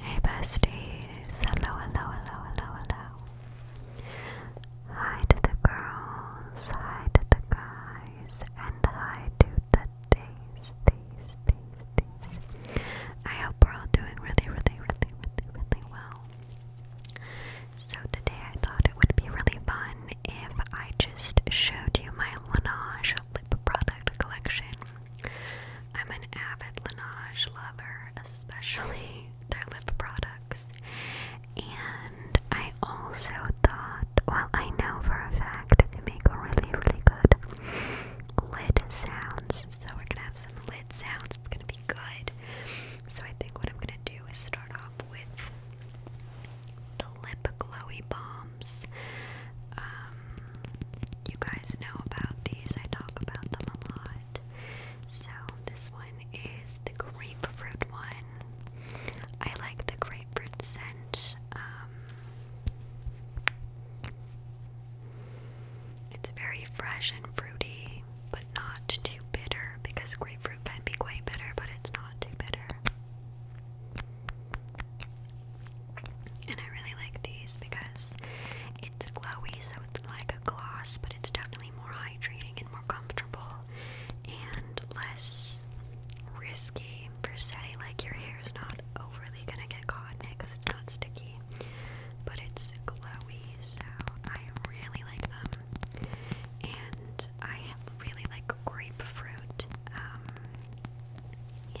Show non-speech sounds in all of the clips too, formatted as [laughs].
Hey besties, hello, hello, hello, hello, hello. Hi to the girls, hi to the guys, and hi to the days, days, days, days. I hope we're all doing really, really, really, really, really well. So today I thought it would be really fun if I just showed you my Laneige lip product collection. I'm an avid Laneige lover, especially [laughs] their lip products. And I also thought, well, I know for a fact they make really, really good lid sounds. So we're gonna have some lid sounds. It's gonna be good. So I think what I'm gonna do is start off with the lip glowy bombs. Um, you guys know about these, I talk about them a lot. So, this one is the grapefruit one. I like the grapefruit scent. Um, it's very fresh and fruity, but not too bitter because grapefruit can be quite bitter, but it's not too bitter. And I really like these because it's glowy, so it's like a gloss, but it's definitely more hydrating and more comfortable and less risky per se. Like your hair is not overly gonna get caught in it because it's not sticky, but it's glowy, so I really like them. And I really like grapefruit. Um, yeah,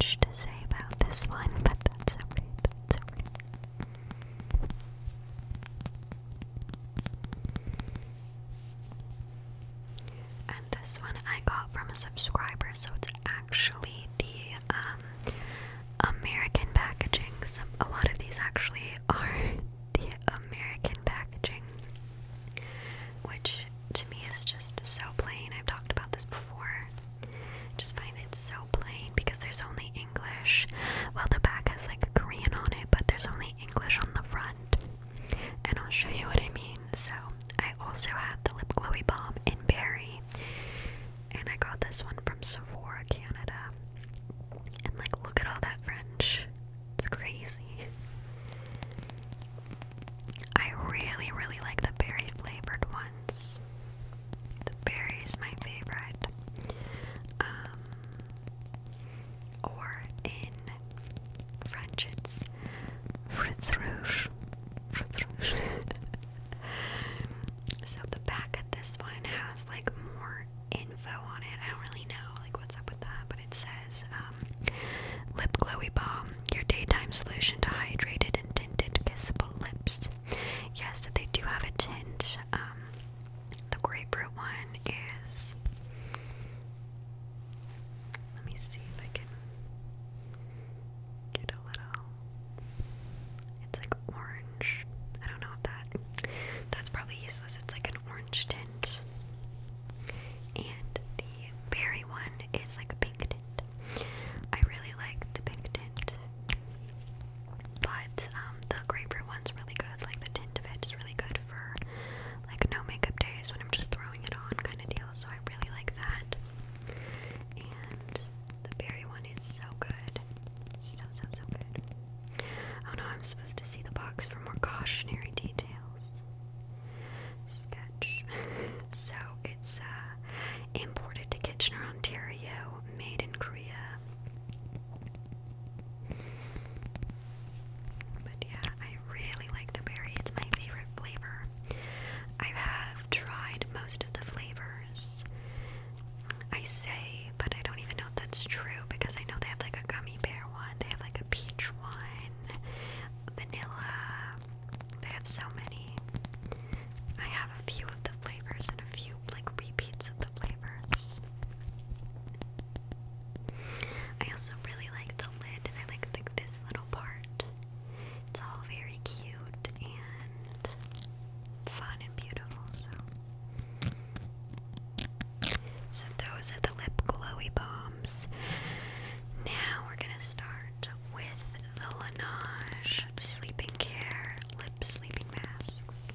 to say about this one, but that's okay. And this one I got from a subscriber, so it's actually the um, American packaging. So a lot of these actually are [laughs] the American packaging, which to me is just so plain. I've talked about this before. I just find it so plain because there's only English. while the back has like Korean on it, but there's only English on the front. And I'll show you what I mean. So, I also have the Lip Glowy bomb in Berry. And I got this one from Sephora, Canada. And like, look at all that French. It's crazy. I really, really like the berry flavored ones. The berry is my favorite. Um, or in French, it's fruits rouge. Fruits rouge. [laughs] so the back of this one has like more info on it. I don't really know like what's up with that, but it says um, lip glowy balm your daytime solution to hydrated and tinted kissable lips. Yes, they do have a tint. Um, the grapefruit one is. Let me see if I can get a little. It's like orange. I don't know that. That's probably useless. It's like an orange tint. And the berry one is like a pink tint. I really like the pink tint, but um, the grapefruit one's really good. Like the tint of it is really good for like no makeup days when I'm just throwing it on kind of deal. So I really like that. And the berry one is so good, so so so good. Oh no, I'm supposed to see the box for more cautionary details sketch. [laughs] so it's uh, imported to Kitchener, Ontario, made in Korea. But yeah, I really like the berry. It's my favorite flavor. I have tried most of the flavors. I say, but I don't even know if that's true because I know they have like a gummy bear one, they have like a peach one, vanilla, they have so many. I have a few of the flavors and a few like repeats of the flavors. I also really like the lid I like this little part. It's all very cute and fun and beautiful, so so those are the lip glowy bombs. Now we're gonna start with the Laneige Sleeping Care Lip Sleeping Masks.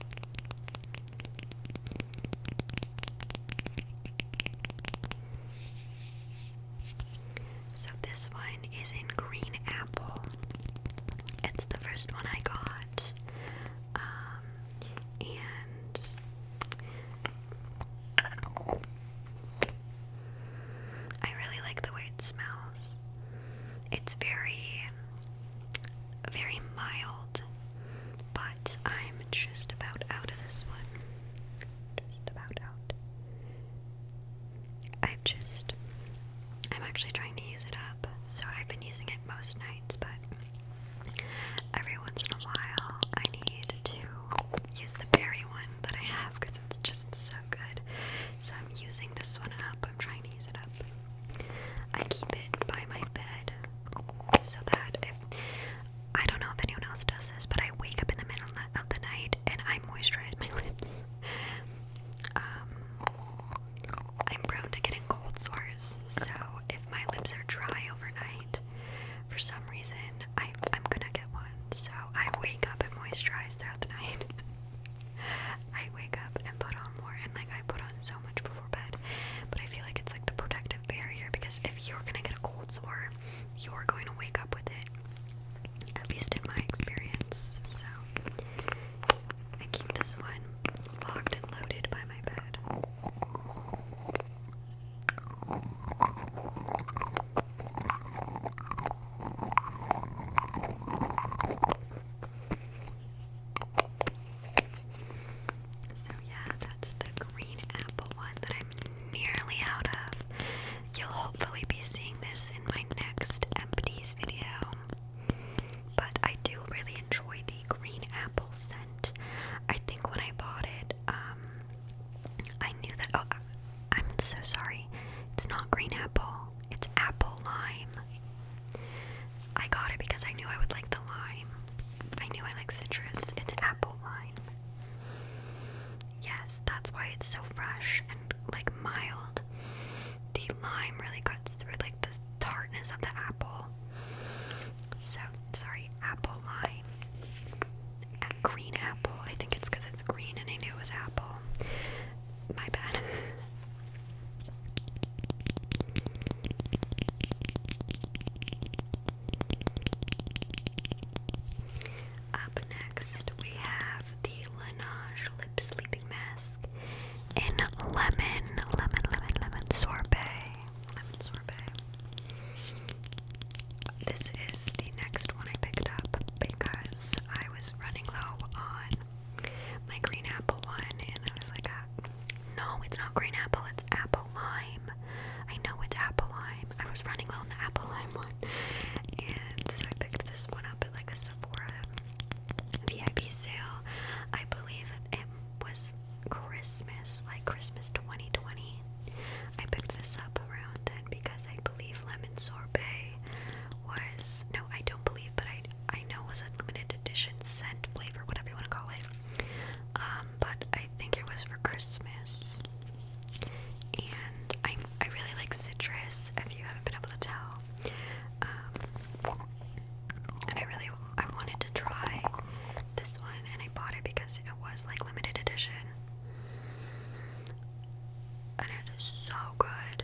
So, this one is in Green Apple. It's the first one I got. Um, and I really like the way it smells. It's very, very mild, but I'm just about out of this one. Just about out. I've just, I'm actually trying to use it up, so I've been using it most nights, but every once in a while I need to use the berry one that I have because it's just so good. So I'm using this one up. I'm trying to use it up. I keep it by my bed so that if I don't know if anyone else does this, but I wake up in the middle of the night and I moisturize my [laughs] lips. Um, I'm prone to getting cold sores, so if my lips are dry overnight, for some reason I, I'm gonna get one. So I wake up and moisturize throughout the night. [laughs] I wake up and put on more, and like I put on so much before bed. But I feel like it's like the protective barrier because if you're gonna get a cold sore, you're going to wake up with it. At least in my experience. So I keep this one locked and loaded by my bed. So, yeah, that's the green apple one that I'm nearly out of. You'll hopefully be seeing this in my next empties video. But I do really enjoy the green apple scent. I think when I bought it, um, I knew that. Oh, I'm so sorry. It's not green apple, it's apple lime. I got it because I knew I would like the lime. I knew I like citrus. It's apple lime. Yes, that's why it's so fresh and like mild. The lime really cuts through like the tartness of the apple. So sorry, apple line. green apple. I think it's because it's green and I knew it was apple. My bad. [laughs] Up next, we have the Laneige Lip Sleeping Mask in lemon, lemon, lemon, lemon sorbet lemon sorbet. This is the next one I picked up because I was running low on my green apple one, and I was like, ah, "No, it's not green apple. It's apple lime." I know it's apple lime. I was running low on the apple lime [laughs] one, and so I picked this one up at like a Sephora VIP sale. I believe it was Christmas, like Christmas 2020. I picked this up around then because I believe lemon sorbet was no, I don't believe, but I I know was a limited edition scent flavor, whatever you want to call it. Um, but I think it was for Christmas. And I I really like citrus, if you haven't been able to tell. Um, and I really I wanted to try this one, and I bought it because it was like limited edition. And it is so good.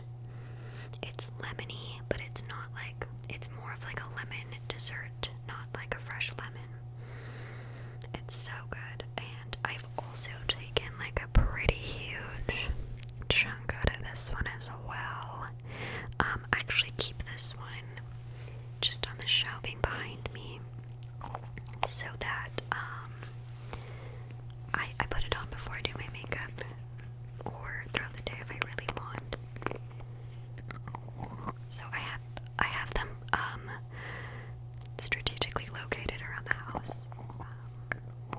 It's lemony, but it's not like it's more of like a lemon dessert, not like a fresh lemon. It's so good. And I've also taken like a pretty huge chunk out of this one as well. Um, I actually keep this one just on the shelving behind me so that um, I, I put it on before I do my makeup or throughout the day if I really want. So I have I have them um, strategically located around the house. Um,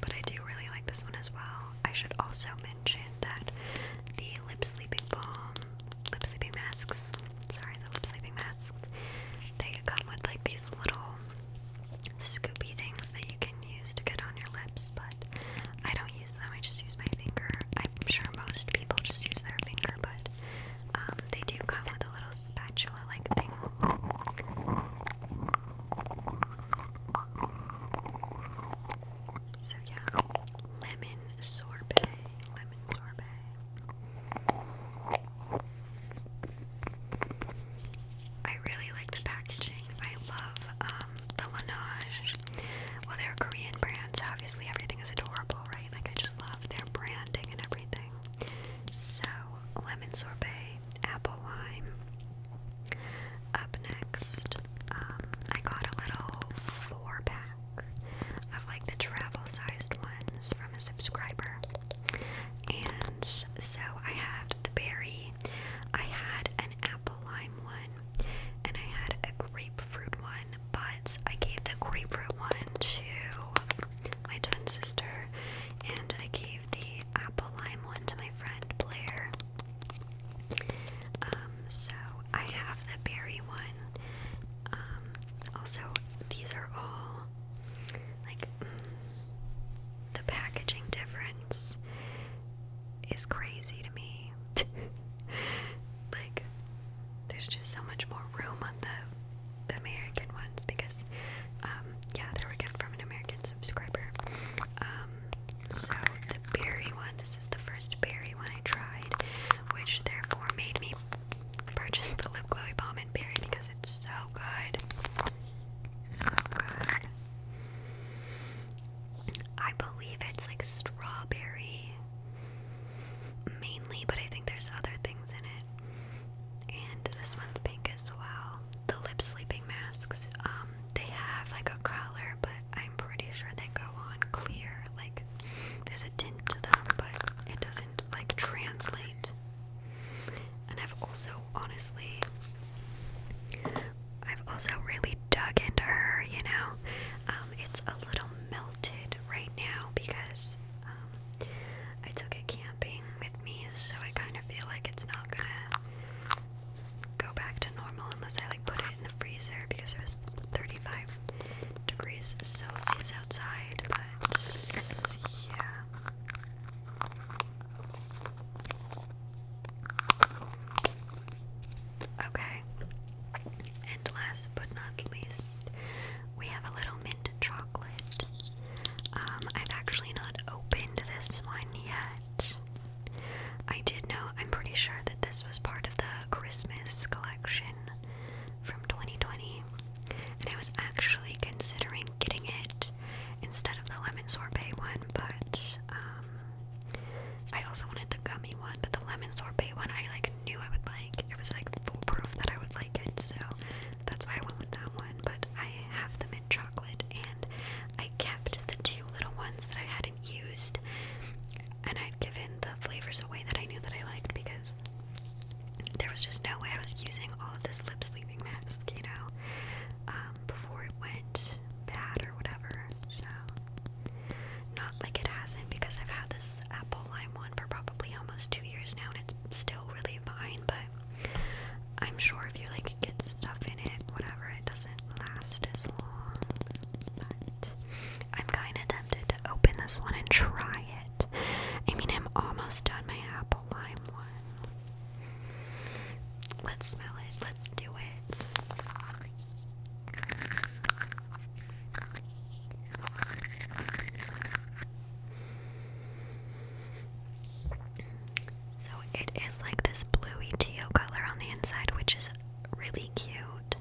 but I do really like this one as well. I should also mention that the Lip Sleeping Balm lip sleeping masks. Sorry, the lip sleeping masks. They come with like these little scoopy things that you can use to get on your lips, but I don't use them. I just use my finger. I'm sure most people just use their finger, but um, they do come with a little spatula like thing. So yeah, lemon sorbet, lemon sorbet. I really like the packaging. I love um, the Laneige. Well, they're Korean brand, obviously everything is adorable, right? Like I just love their branding and everything. So lemon sorbet, apple lime. Up next, um, I got a little four pack of like the travel sized ones from a subscriber. And so I had the berry, I had an apple lime one, and I had a grapefruit one, but I gave the grapefruit one to my twin sister, and I gave the apple lime one to my friend Blair. Um, so I have the berry one. Um, also, these are all like the packaging difference is crazy to me. [laughs] like, there's just so much more room on the, American ones because, um, yeah, they were given from an American subscriber. So the berry one, this is the first berry one I tried, which therefore made me purchase the lip glowy balm in berry because it's so good. So good. I believe it's like strawberry mainly, but I think there's other things in it. And this one's pink as well. The lip sleeping masks, um, they have like a color, but I I'm pretty sure they go on clear. Like there's a tint to them, but it doesn't like translate. And I've also honestly I've also really dug into her, you know. Um, it's a little melted right now because um, I took it camping with me, so I kind of feel like it's not gonna go back to normal unless I like put it in the freezer because it was 35 degrees Celsius outside, yeah. Okay, and last but not least, we have a little mint chocolate. Um, I've actually not opened this one yet. I did know, I'm pretty sure that this was part of the Christmas collection from 2020, and I was actually considering getting it instead of the lemon sorbet one, but um, I also wanted the gummy one, but the lemon sorbet one I like knew I would like. It was like foolproof that I would like it, so that's why I went with that one, but I have the mint chocolate and I kept the two little ones that I hadn't used, and I'd given the flavors away that I knew that I liked because there was just no way I was using all of this lip sleeping mask, you know, um, before it went bad or whatever. So, not like it hasn't because I've had this apple lime one for probably almost two years now, and it's still really fine, but I'm sure if you like get stuff in it, whatever, it doesn't last as long. But I'm kind of tempted to open this one and try it. I mean, I'm almost done my apple lime one. Let's smell it. Let's do it. So it is like this bluey teal color on the inside, which is really cute.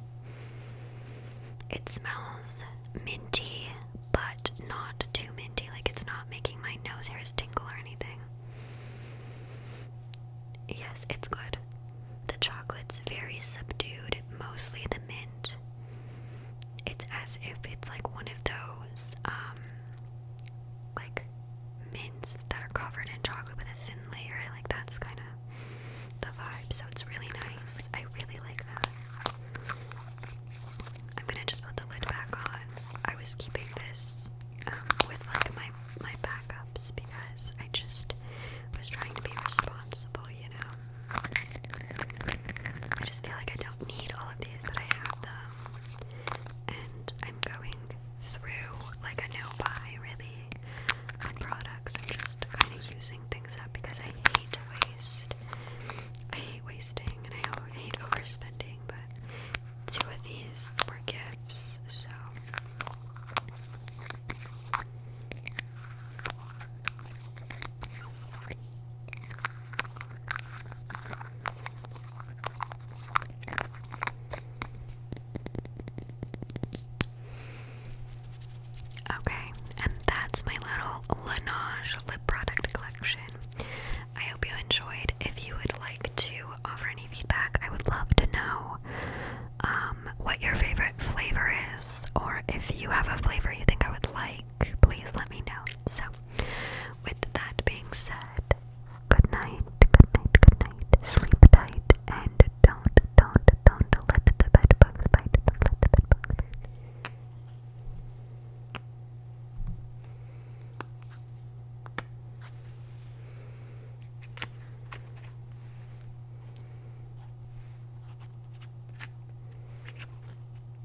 It smells minty, but not too minty. Like it's not making my nose hairs tingle or anything. Yes, it's good. The chocolate's very subdued, mostly the mint. It's as if it's like one of those, um, like mints that are covered in chocolate with a thin layer. Like that's kind of the vibe. So it's really nice. I really like that. I'm gonna just put the lid back on. I was keeping this um, with like my my backups because I just was trying to be responsible, you know. I just feel like I don't need all of these, but I have them, and I'm going through like a no buy really on products. I'm just kind of using things up because I hate waste. I hate wasting and I hate overspending, but two of these were gifts, so. Okay, and that's my little Laneige lip product collection. I hope you enjoyed. If you would like to offer any feedback, I would love to know um, what your favorite flavor is, or if you have a flavor you think I would like, please let me know. So, with that being said, Good night, good night, good night. Sleep tight and don't, don't, don't let the bed bugs bite. Don't let the bed bugs bite.